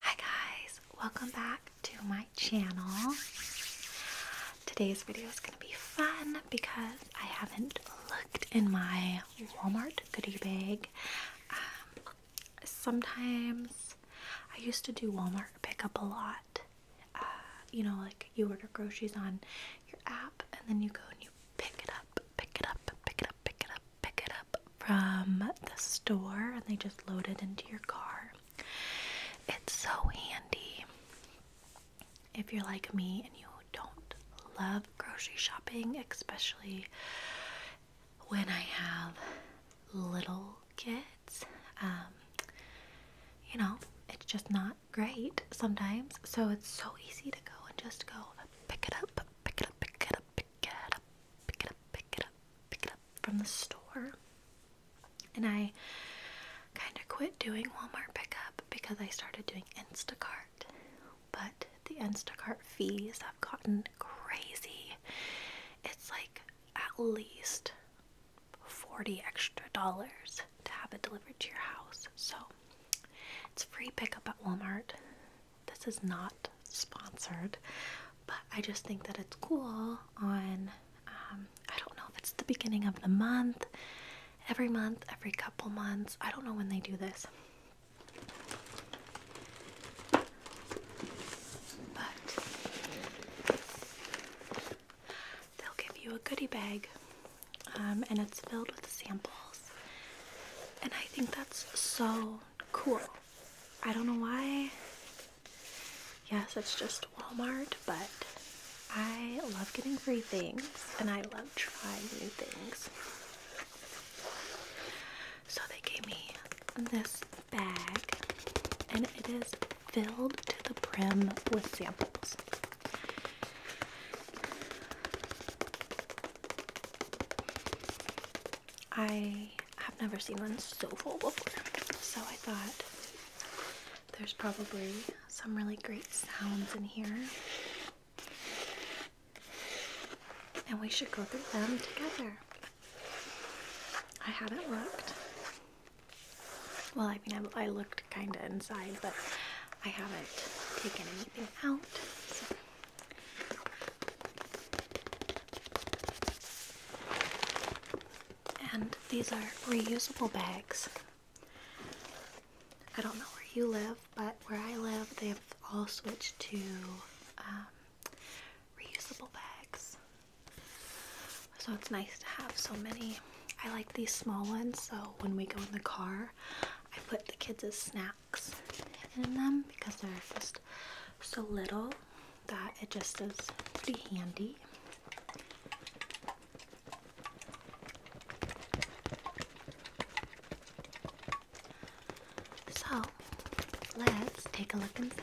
Hi guys, welcome back to my channel. Today's video is gonna be fun because I haven't looked in my Walmart goodie bag. Um, sometimes I used to do Walmart pickup a lot. Uh, you know, like you order groceries on your app and then you go and you pick it up, pick it up, pick it up, pick it up, pick it up from the store and they just load it into your car. It's so handy if you're like me and you don't love grocery shopping, especially when I have little kids. Um, you know, it's just not great sometimes. So it's so easy to go and just go pick it up, pick it up, pick it up, pick it up, pick it up, pick it up, pick it up from the store. And I kind of quit doing Walmart pickup because I started doing Instacart. But the Instacart fees have gotten crazy. It's like at least 40 extra dollars to have it delivered to your house. So it's free pickup at Walmart. This is not sponsored, but I just think that it's cool on, um, I don't know if it's the beginning of the month, every month, every couple months. I don't know when they do this. But they'll give you a goodie bag um, and it's filled with samples. And I think that's so Cool. I don't know why. Yes, it's just Walmart, but I love getting free things and I love trying new things. So they gave me this bag and it is filled to the brim with samples. I have never seen one so full before, so I thought there's probably some really great sounds in here. And we should go through them together. I haven't looked. Well, I mean, I, looked kind of inside, but I haven't taken anything out. And these are reusable bags. I don't know where you live, but where I live, they've all switched to um, reusable bags. So it's nice to have so many. I like these small ones, so when we go in the car, I put the kids' snacks in them because they're just so little that it just is pretty handy. So let's take a look inside.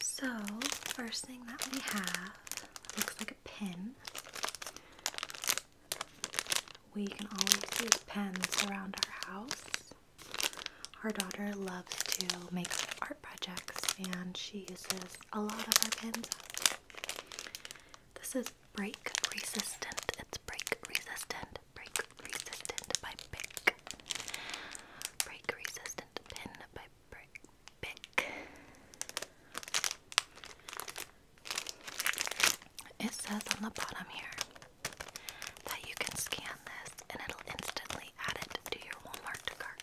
So, first thing that we have looks like a pin. We can always use pens around our house. Our daughter loves to make art projects and she uses a lot of our pins. This is Break Resistant. It's Break Resistant. Break Resistant by Pick. Break Resistant Pin by brick It says on the bottom here that you can scan this and it'll instantly add it to your Walmart cart.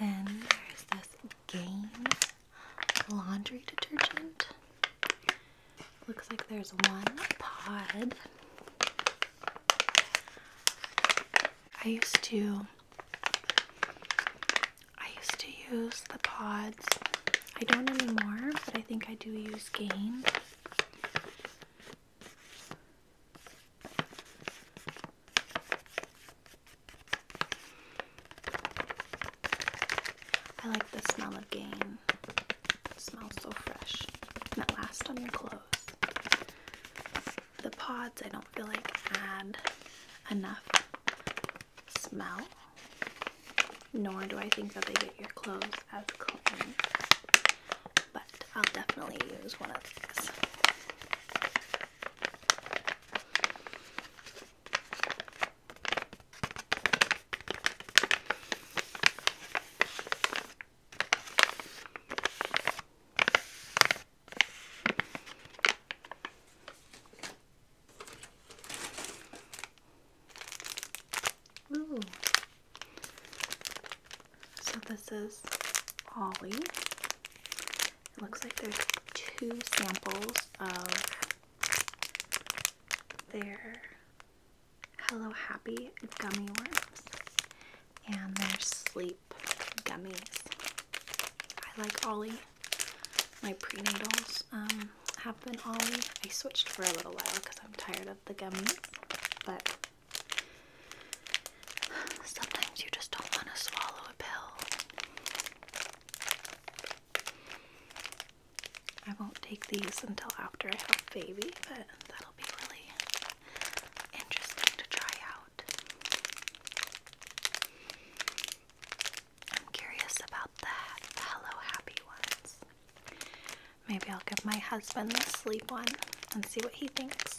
Then there's this Gain laundry detergent. Looks like there's one pod. I used to I used to use the pods. I don't anymore, but I think I do use gain. I like the smell of gain smells so fresh. And it lasts on your clothes. The pods I don't feel like add enough smell, nor do I think that they get your clothes as clean. But I'll definitely use one of these. So this is Ollie. It looks like there's two samples of there. Hello Happy gummy worms and their sleep gummies. I like Ollie. My prenatals um, have been Ollie. I switched for a little while because I'm tired of the gummies, but sometimes you just don't want to swallow a pill. I won't take these until after I have baby, but that'll be really interesting to try out. I'm curious about the, Hello Happy ones. Maybe I'll give my husband the sleep one and see what he thinks.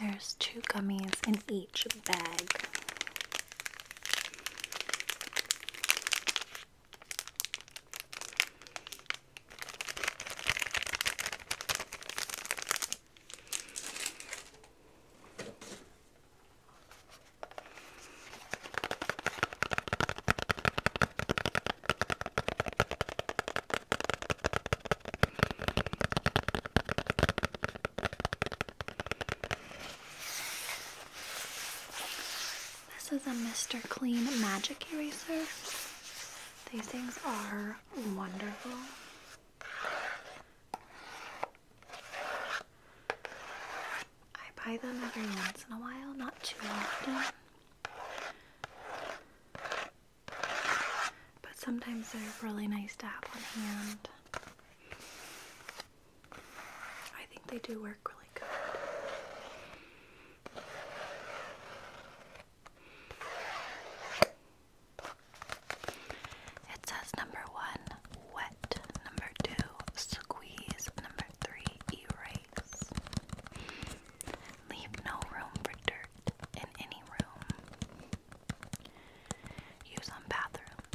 There's two gummies in each bag. This is a Mr. Clean Magic Eraser. These things are wonderful. I buy them every once in a while, not too often. But sometimes they're really nice to have on hand. I think they do work really good. It says number one, wet, number two, squeeze, number three, erase. Leave no room for dirt in any room. Use on bathrooms,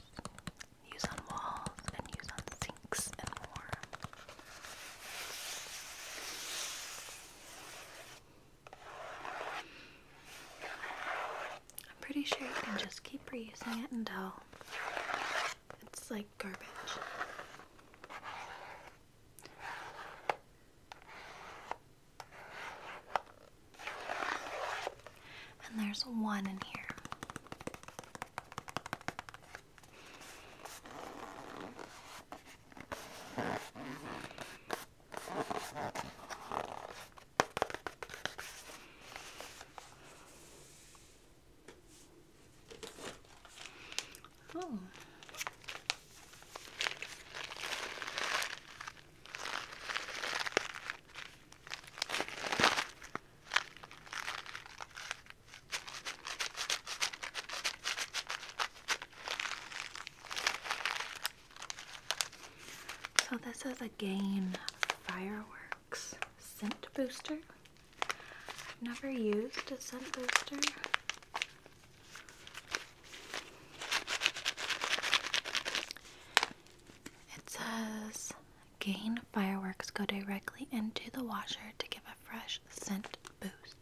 use on walls, and use on sinks and more. I'm pretty sure you can just keep reusing it until it's like garbage. And there's one in here. Oh. So this is a again fireworks scent booster. I've never used a scent booster. It says gain fireworks go directly into the washer to give a fresh scent boost.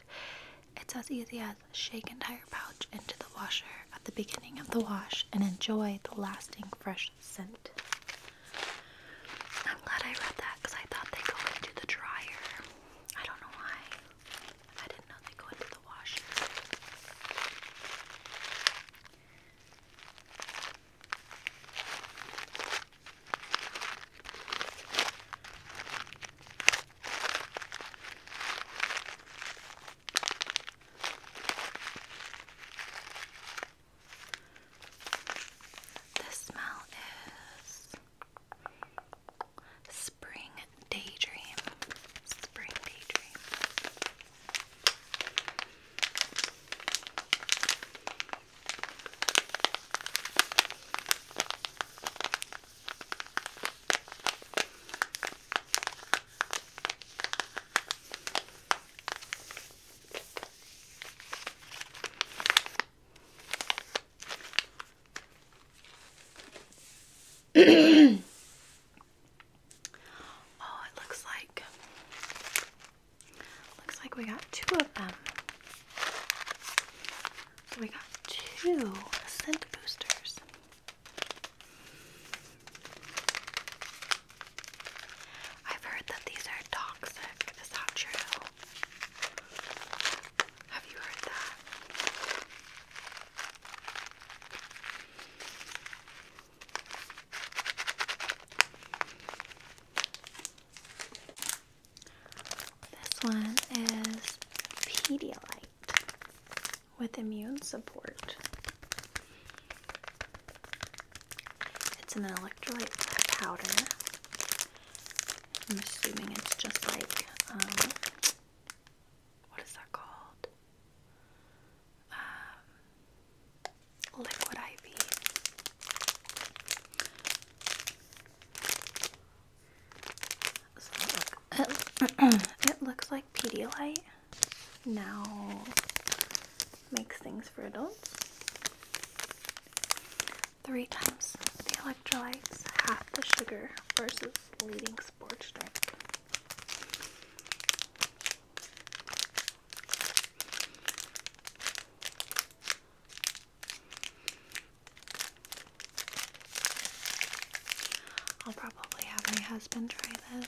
It's as easy as shake entire pouch into the washer at the beginning of the wash and enjoy the lasting fresh scent. I'm glad I read that because I thought they go into the dryer. I don't know why. I didn't know they go into the wash. This smell is Spring Daydream. Spring Daydream. oh, it looks like looks like we got two of them. So we got two scent boosters. I've heard that these are toxic. Is that true? Have you heard that? This one is Pedialyte with immune support. It's an electrolyte powder. I'm assuming it's just like um, what is that called? Um, liquid IV. it looks like Pedialyte now makes things for adults. Three times the electrolytes, half the sugar versus leading I'll probably have my husband try this.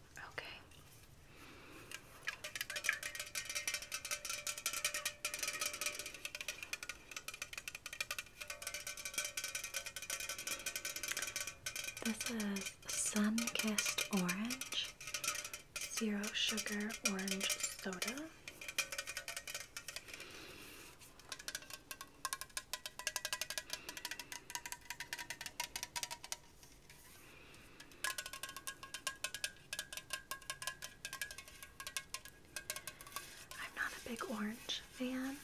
Okay. This is Sun Kissed Orange, Zero Sugar Orange Soda. I'm not a big orange fan,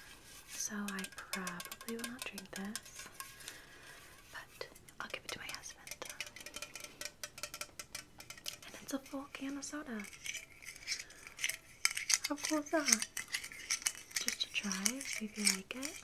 so I probably will not drink this, but I'll give it to my husband. And it's a full can of soda. How cool is that? Just to try, see if you like it.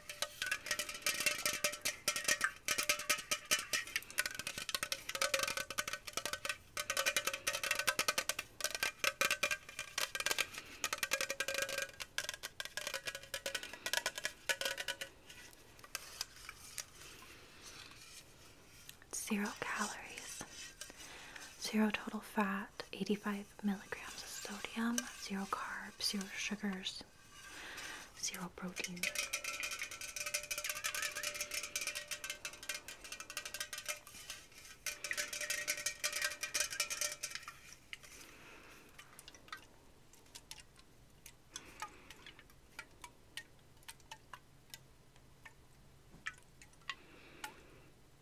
Zero calories, zero total fat, 85 milligrams of sodium, zero carbs, zero sugars, zero protein.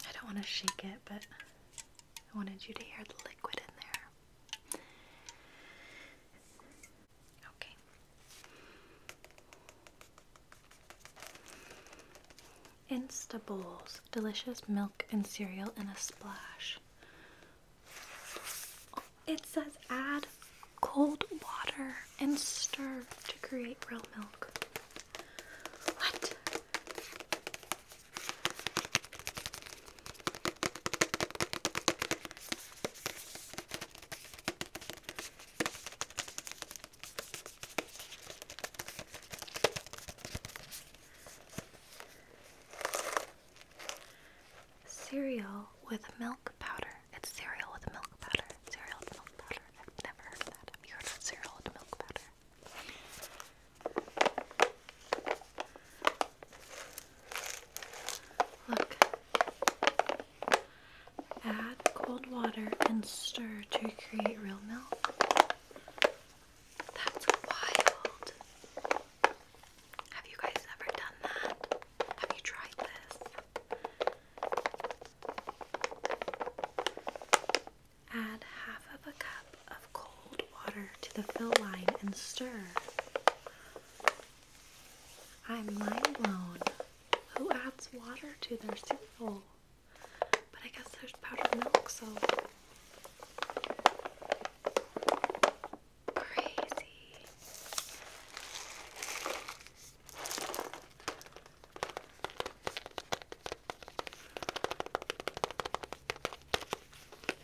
I don't want to shake it, but I wanted you to hear the liquid in there. Instables, delicious milk and cereal in a splash. It says add cold water and stir to create real milk. What? Cereal with milk powder. It's cereal with milk powder. Cereal with milk powder. I've never heard that. you heard cereal with milk powder? Add cold water and stir to create real milk. That's wild. Have you guys ever done that? Have you tried this? Add half of a cup of cold water to the fill line and stir. I'm mind blown. Who adds water to their soup bowl? But I guess there's powdered milk, so crazy.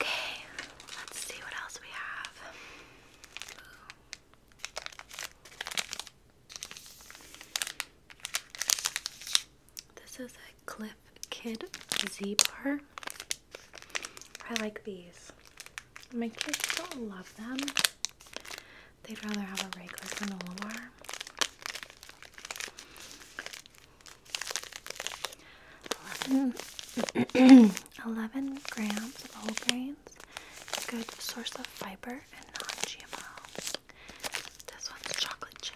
Okay, let's see what else we have. This is a clip Kid Z bar. I like these. My kids don't love them. They'd rather have a regular granola bar. 11 grams of whole grains, good source of fiber and non GMO. This one's chocolate chip.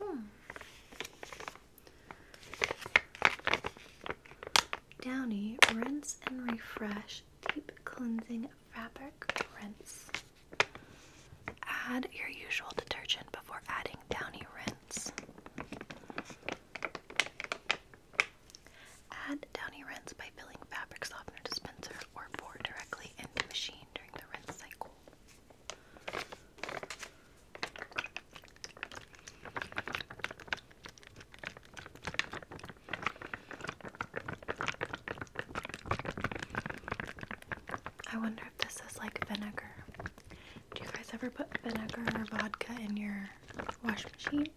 Hmm. Downy Rinse and Refresh Deep Cleansing Fabric Rinse. Add your usual detergent before adding Downy Rinse. Add downy rinse by filling fabric softener dispenser or pour directly into machine during the rinse cycle. I wonder if this is like vinegar. Do you guys ever put vinegar or vodka in your wash machine?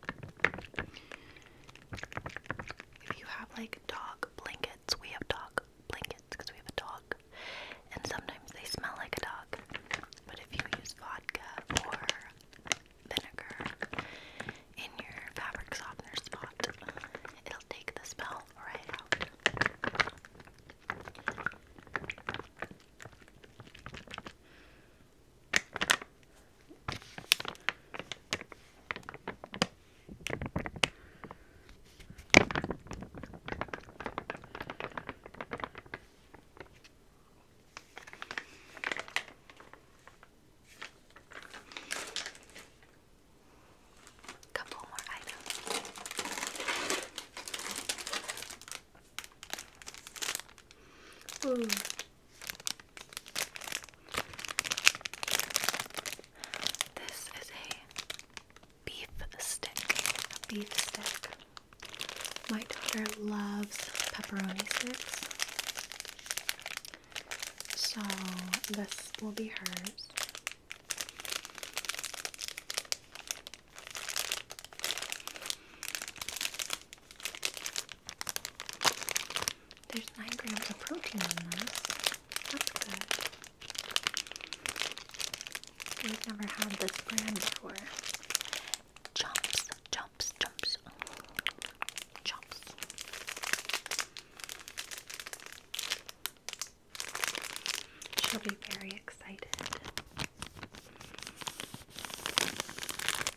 If you have like dog blankets, we have dog blankets because we have a dog, and sometimes they smell like a dog. But if you use vodka or vinegar in your fabric softener spot, it'll take the smell right out. Couple more items. Ooh, this is a beef stick. beef stick. My daughter loves pepperoni sticks. So this will be hers. There's 9 grams of protein in this. That's good. We've never had this brand before. Chomps, chomps, chomps. Chomps. She'll be very excited.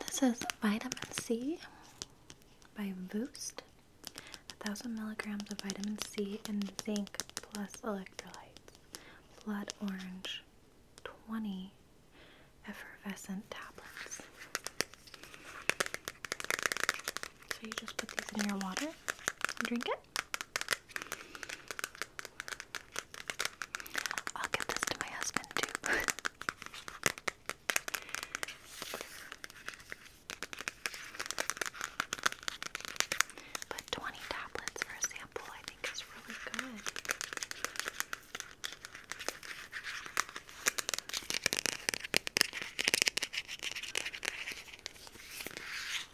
this? is vitamin C by Boost. A 1000 milligrams of vitamin C and zinc plus electrolytes. Blood orange 20 effervescent tablets. So you just put these in your water drink it. I'll give this to my husband too. but 20 tablets for a sample, I think, is really good.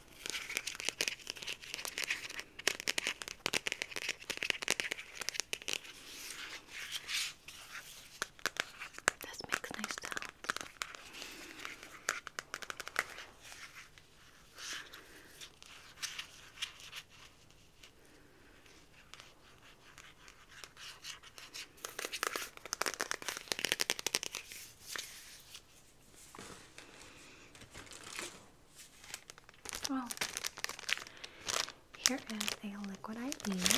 This makes nice sounds. Well, here is a liquid IV. This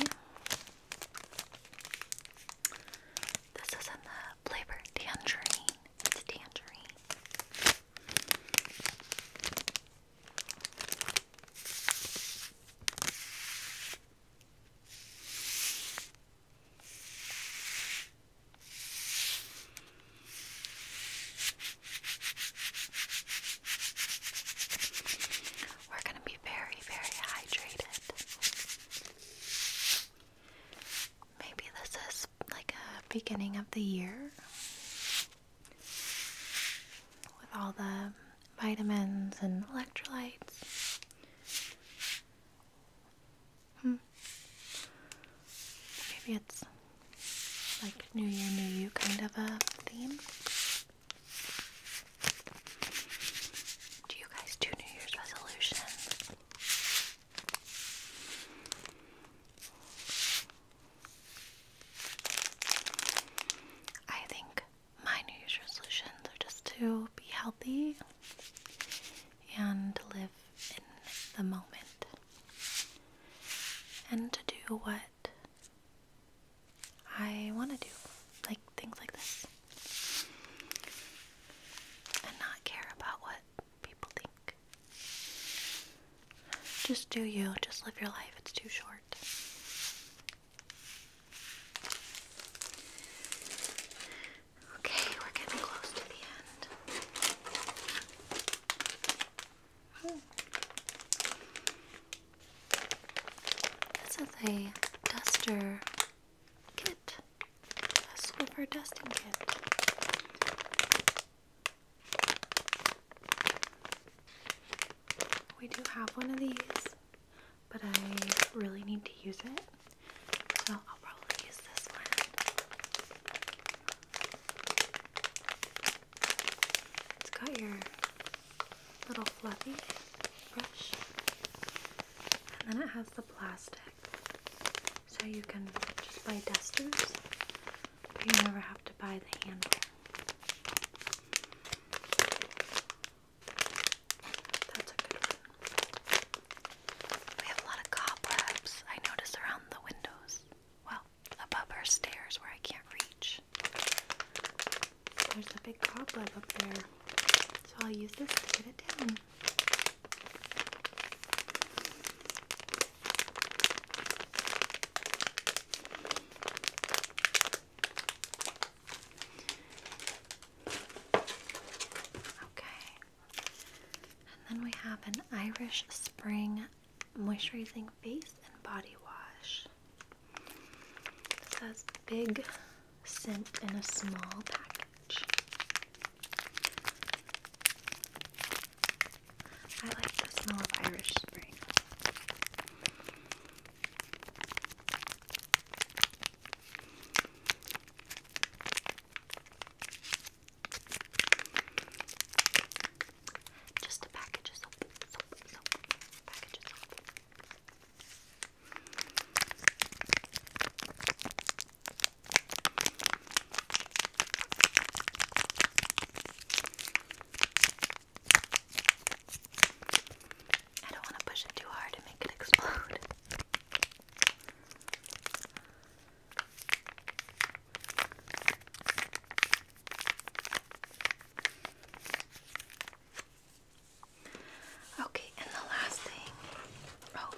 is in the flavor tangerine. It's tangerine. We're going to be very, very hydrated. Maybe this is like a beginning of the year with all the vitamins and electrolytes. Hmm. Maybe it's like New Year, New You kind of a theme. Do you guys do New Year's resolutions? I think my New Year's resolutions are just to be healthy and live in the moment and to do what I want to do, like things like this, and not care about what people think. Just do you, just live your life, it's too short. Okay, we're getting close to the end. This is a duster kit, a Swiffer dusting kit. We do have one of these, but I really need to use it. So I'll probably use this one. It's got your little fluffy brush, and then it has the plastic, so you can just buy dusters, but you never have to buy the handle. That's a good one. We have a lot of cobwebs, I notice, around the windows. Well, above our stairs where I can't reach. There's a big cobweb up there. So I'll use this to get it down. Okay. And then we have an Irish Spring Moisturizing Face and Body Wash. It has big scent in a small package. I like the smell of Irish Spring. Just a package I don't want to push it too hard and make it explode. Okay, and the last thing. Oh,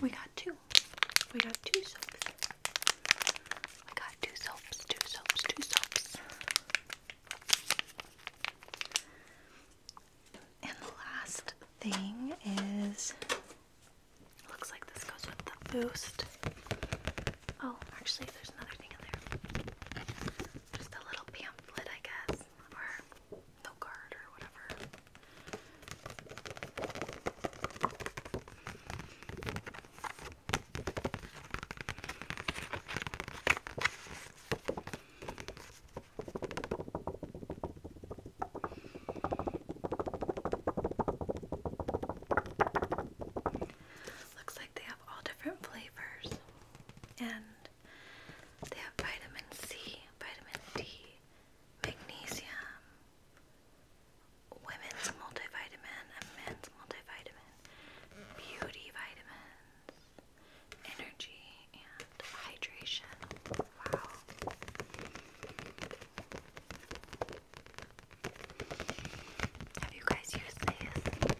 we got two. We got two soaps. We got two soaps, two soaps, two soaps. And the last thing is looks like this goes with the boost. Oh, actually there's another thing in there. Just a little pamphlet, I guess, or no card or whatever. Looks like they have all different flavors, and they have vitamin C, vitamin D, magnesium, women's multivitamin, men's multivitamin, beauty vitamins, energy, and hydration. Wow. Have you guys used these?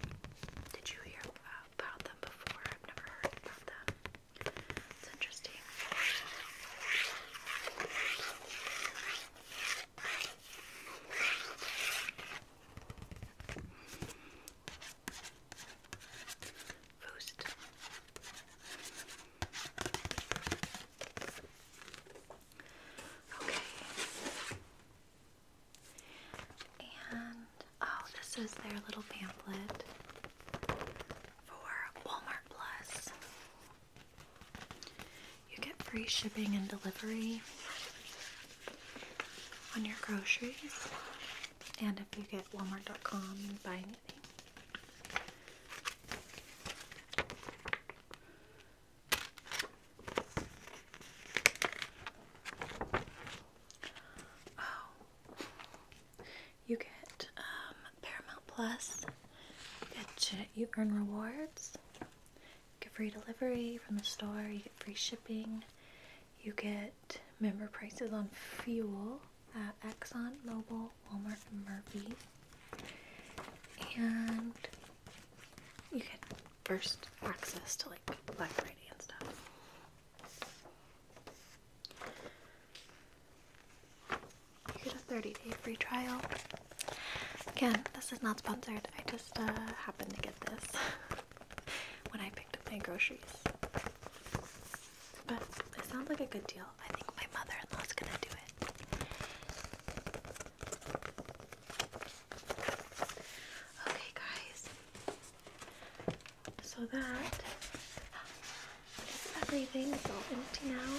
Did you hear about them before? I've never heard about them. It's interesting first. Okay. And oh, this is their little pamphlet for Walmart Plus. You get free shipping and delivery on your groceries. And if you get Walmart.com and buy Oh, you get um, Paramount Plus. You get you earn rewards. You get free delivery from the store. You get free shipping. You get member prices on fuel at uh, Exxon, Mobil, Walmart, Murphy. And you get first access to like Black Friday and stuff. You get a 30 day free trial. Again, this is not sponsored. I just uh, happened to get this when I picked up my groceries. But it sounds like a good deal. I think my mother-in-law's gonna do it. Okay, guys. So that is everything. It's all empty now.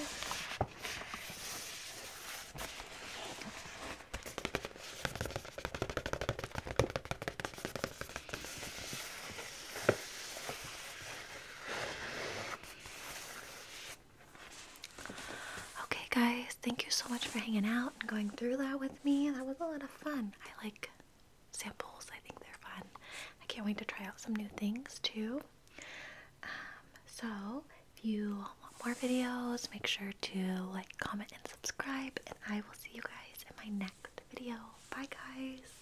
Okay, guys, thank you so much for hanging out and going through that with me. That was a lot of fun. I like samples, I think they're fun. I can't wait to try out some new things too. Um, so, if you want more videos, make sure to like, comment, and subscribe. And I will see you guys in my next video. Bye, guys.